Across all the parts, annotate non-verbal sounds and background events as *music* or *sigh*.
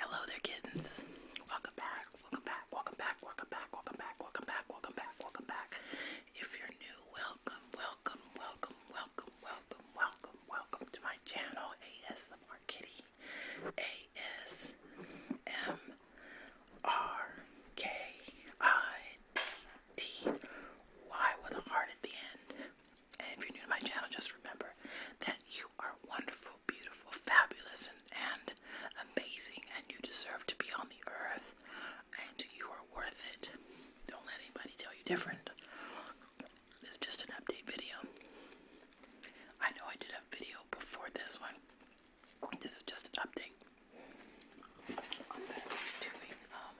Hello there, kittens. Welcome back, welcome back, welcome back, welcome back, welcome back, welcome back, welcome back, welcome back. If you're new, welcome, welcome, welcome, welcome, welcome, welcome, welcome to my channel, ASMR Kitty. A-S-M-R-K-I-T-T-Y with a heart at the end. And if you're new to my channel, just remember that you are wonderful beautiful, fabulous, and, amazing, and you deserve to be on the earth, and you are worth it. Don't let anybody tell you different. It's just an update video. I know I did a video before this one. This is just an update. I'm going doing um,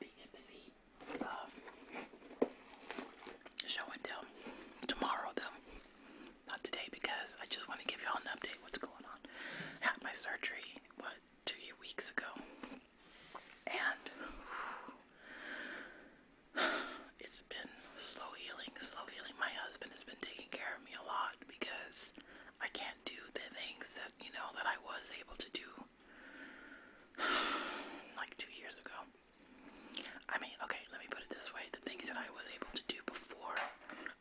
The Ipsy show and tell tomorrow, though. Not today because I just want to give y'all an update. What's going on? Had my surgery what two weeks ago, and *sighs* it's been slow healing. Slow healing. My husband has been taking care of me a lot because I can't do the things that you know that I was able to do *sighs* like two years ago. I mean, okay, let me put it this way. The things that I was able to do before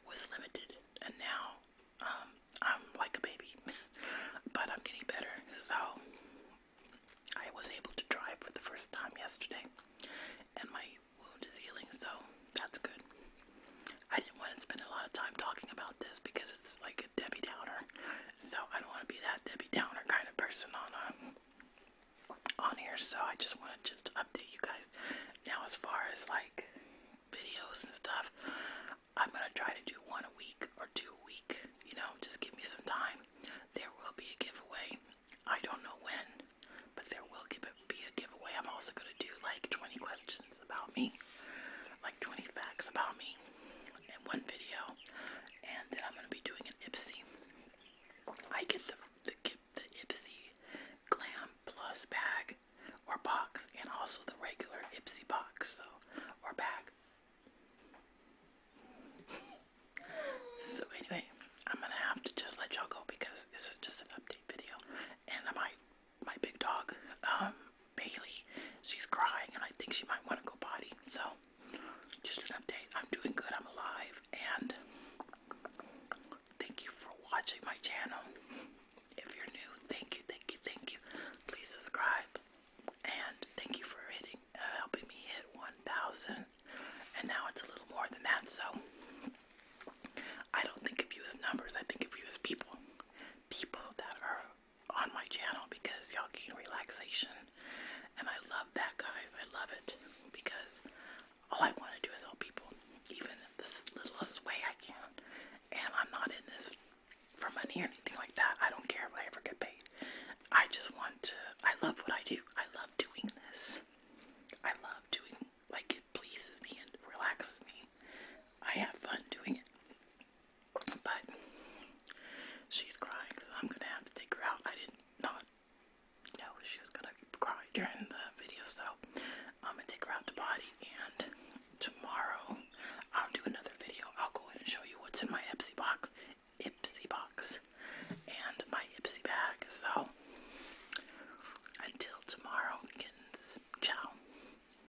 was limited, and now um, I'm like a baby, *laughs* but I'm getting better. So, I was able to drive for the first time yesterday, and my wound is healing, so that's good. I didn't want to spend a lot of time talking about this because it's like Debbie Downer. So I don't want to be that Debbie Downer kind of person on um, on here. So I just want to just update you guys. Now as far as like videos and stuff, I'm gonna try to do one a week or two a week. You know, just give me some time. There will be a giveaway. I don't know when, but there will be a giveaway. I'm also gonna do like 20 questions about me, like 20 facts about me in one video, and I'm going to be doing an Ipsy. I get the, the, Ipsy Glam Plus bag or box, and also the regular Ipsy box, so, or bag. so anyway, I'm gonna have to just let y'all go because this is just an update video, and my my big dog um, Bailey. She's crying and I think she might want to go potty. So, just an update. I'm doing good. I'm alive. And thank you for watching my channel. If you're new, thank you, thank you, thank you. Please subscribe. And thank you for hitting, uh, helping me hit 1,000. And now it's a little more than that. So, I don't think of you as numbers. I think of you as people. People that are on my channel because y'all gain relaxation. And I love that, guys. I love it because all I want to do is help people, even the littlest way I can. And I'm not in this for money or anything like that. I don't care if I ever get paid. I just want to, I love what I do. I love doing this. I love doing, like, it pleases me and relaxes me. I have fun doing it. But she's crying, so I'm gonna have to take her out. I did not know she was gonna cry during the video, so I'm gonna take her out to body. And tomorrow I'll do another video. I'll go ahead and show you what's in my Ipsy box, Ipsy box, and my Ipsy bag. So until tomorrow, kittens, ciao.